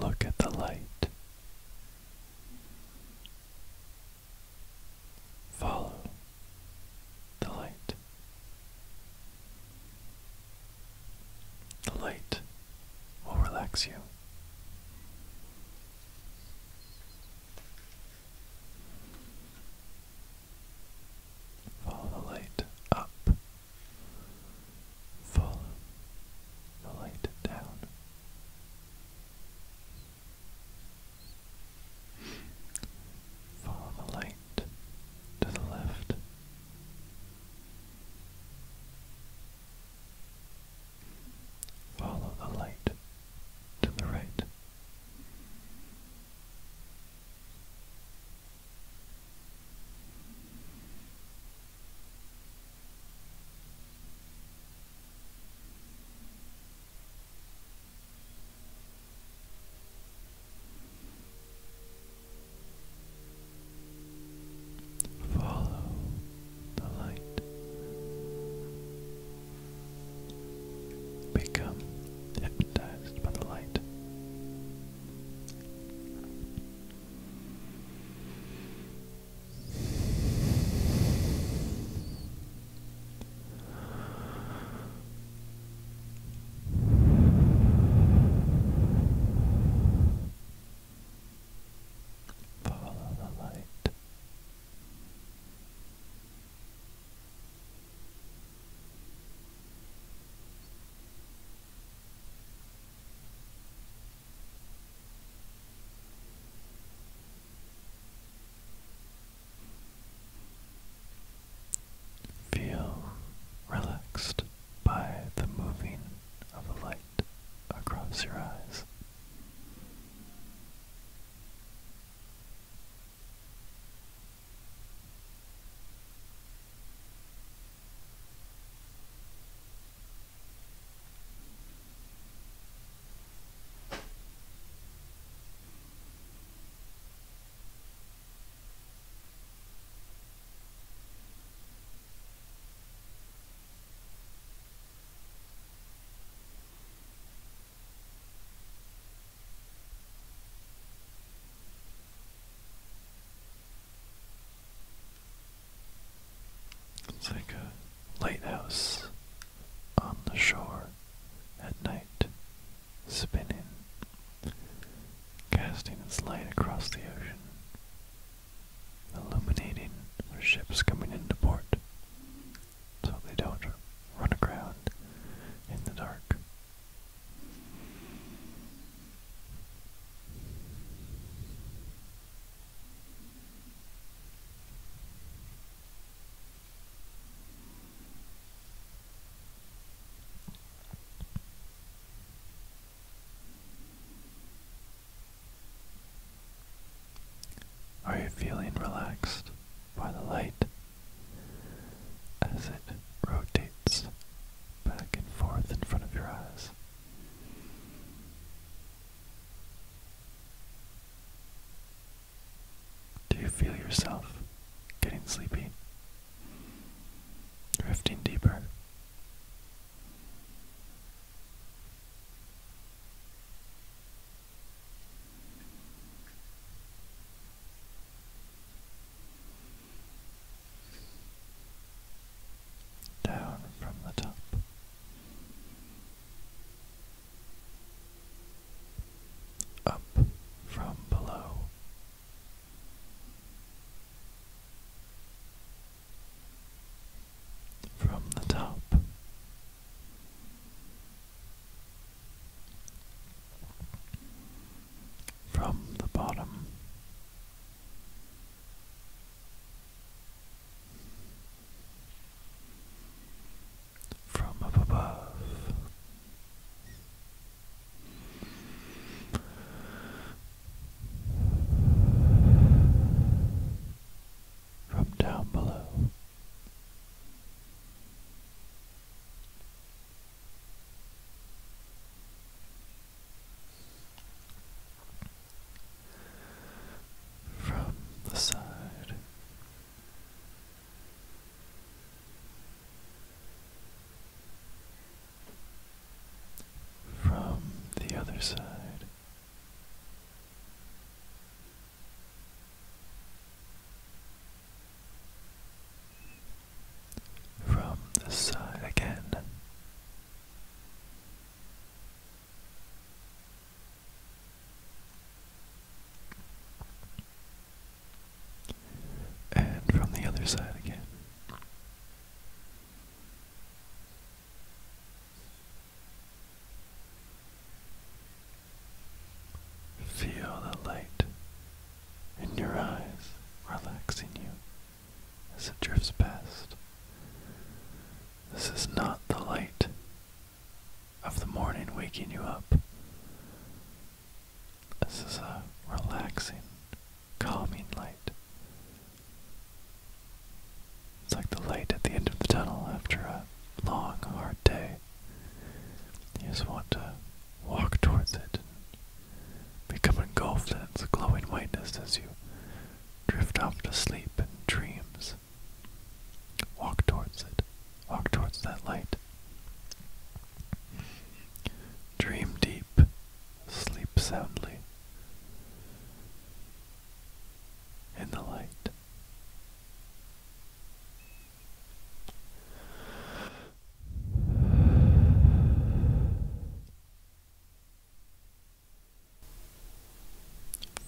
Look at the light. Follow the light. The light will relax you. Follow the light up. Follow the light down. Follow the light to the left Follow the light to the right. Follow the light. Become hypnotized by the light. Follow the light. Feel relaxed by the moving of the light across your eyes. It's like a lighthouse on the shore at night, spinning, casting its light across the ocean, illuminating ships coming into port so they don't run aground in the dark. Are you feeling relaxed by the light as it rotates back and forth in front of your eyes? Do you feel yourself getting sleepy? Drifting deeper. Down from the top, up from below. From the top, from the bottom, from up above. From down below, from the side. From the other side, from the side again, and from the other side again. Feel the light in your eyes relaxing you as it drifts past, this is not the light of the morning waking you up. This is a relaxing, calming light. It's like the light at the end of the tunnel after a long, hard day. You just want to walk towards it become engulfed in its glowing whiteness as you drift off to sleep in dreams. Walk towards it. Walk towards that light. Dream deep. Sleep soundly. In the light.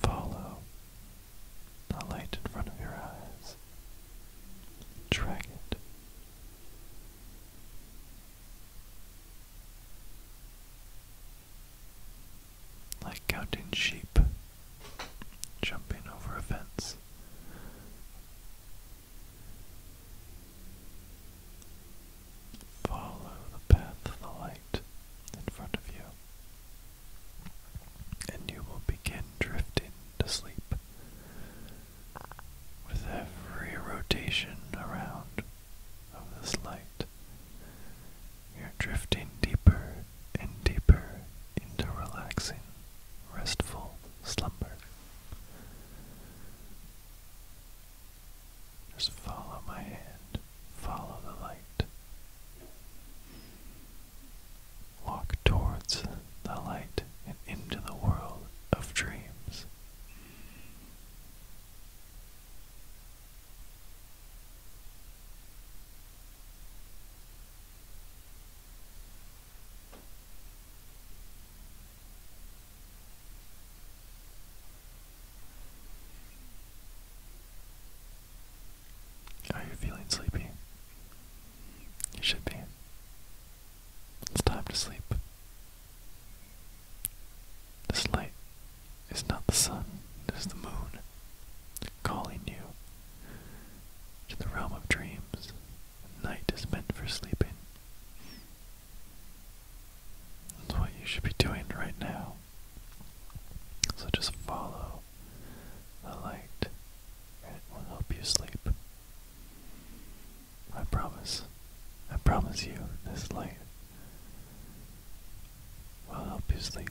Follow the light in front of your eyes. Drag it. Like counting sheep, jumping over a fence. Follow the path of the light in front of you, and you will begin drifting to sleep. With every rotation around of this light, you're drifting deeper and deeper into relaxing, restful slumber. Just follow my hand, follow the light. Walk towards the light and into the world of dreams. Are you feeling sleepy? You should be. It's time to sleep. This light is not the sun, it is the moon calling you to the realm of dreams. Night is meant for sleeping. That's what you should be doing right now. So just follow the light, it will help you sleep. I promise. I promise you, this light will help you sleep.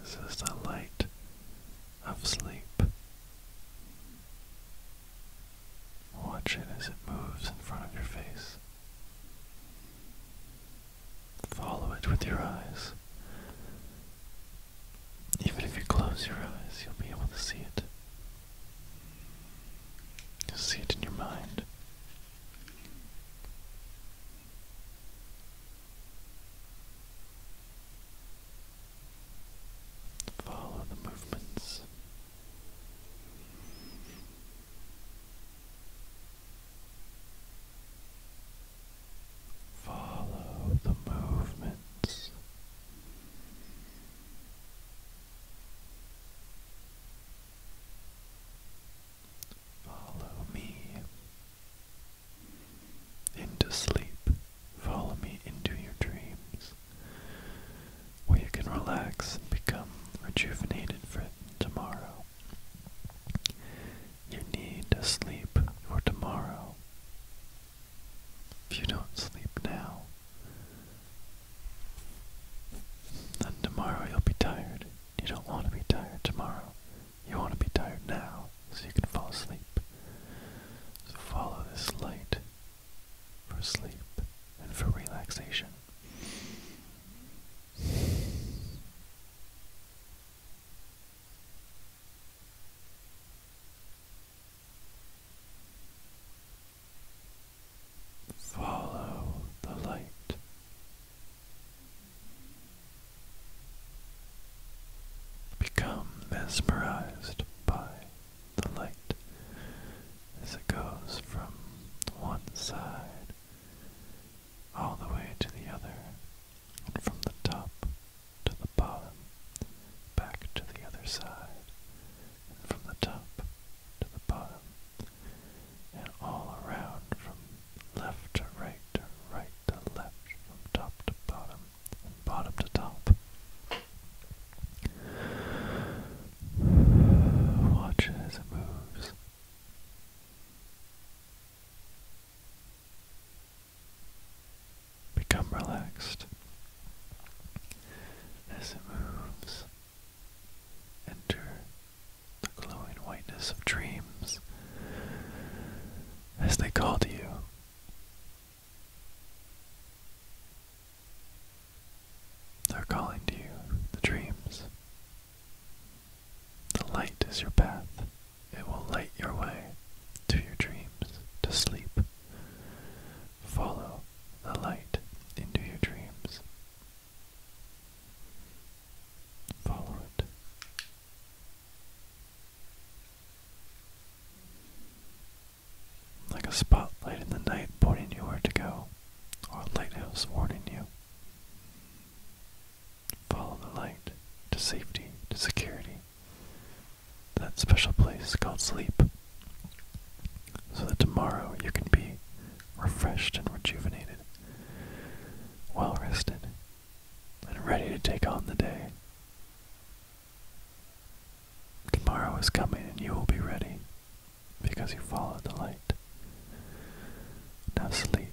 This is the light of sleep. Watch it as it moves in front of your face. Follow it with your eyes. Even if you close your eyes, you'll be able to see it. You'll see it in your mind. Follow the movements. Follow the movements. Follow me into sleep. Follow me into your dreams, where you can relax and become rejuvenated for tomorrow. You need to sleep for tomorrow. If you don't sleep now, then tomorrow you'll be tired. You don't want to be tired tomorrow. You want to be tired now so you can fall asleep. So follow this light for sleep and for relaxation. Follow the light. Become mesmerized by the light as it goes from one side all the way to the other from the top to the bottom, back to the other side, and from the top to the bottom, and all around from left to right to right to left, from top to bottom, and bottom to top. Watch as it moves. Become relaxed as it moves. Enter the glowing whiteness of dreams as they call to you. They're calling to you, the dreams. The light is your path. It will light your way to your dreams, to sleep. Follow the light into your dreams. Follow it. Like a spotlight in the night pointing you where to go, or a lighthouse warning you. Follow the light to safety, to security. That special place called sleep. So that tomorrow you can be refreshed and rejuvenated, well rested, and ready to take on the day. Tomorrow is coming and you will be ready because you followed the light. Now sleep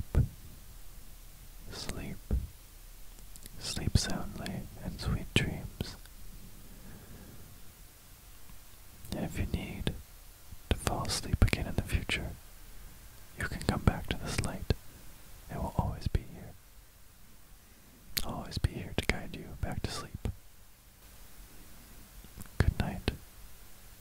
Sleep. Sleep soundly and sweet dreams. And if you need to fall asleep again in the future, you can come back to this light. It will always be here. always be here to guide you back to sleep. Good night,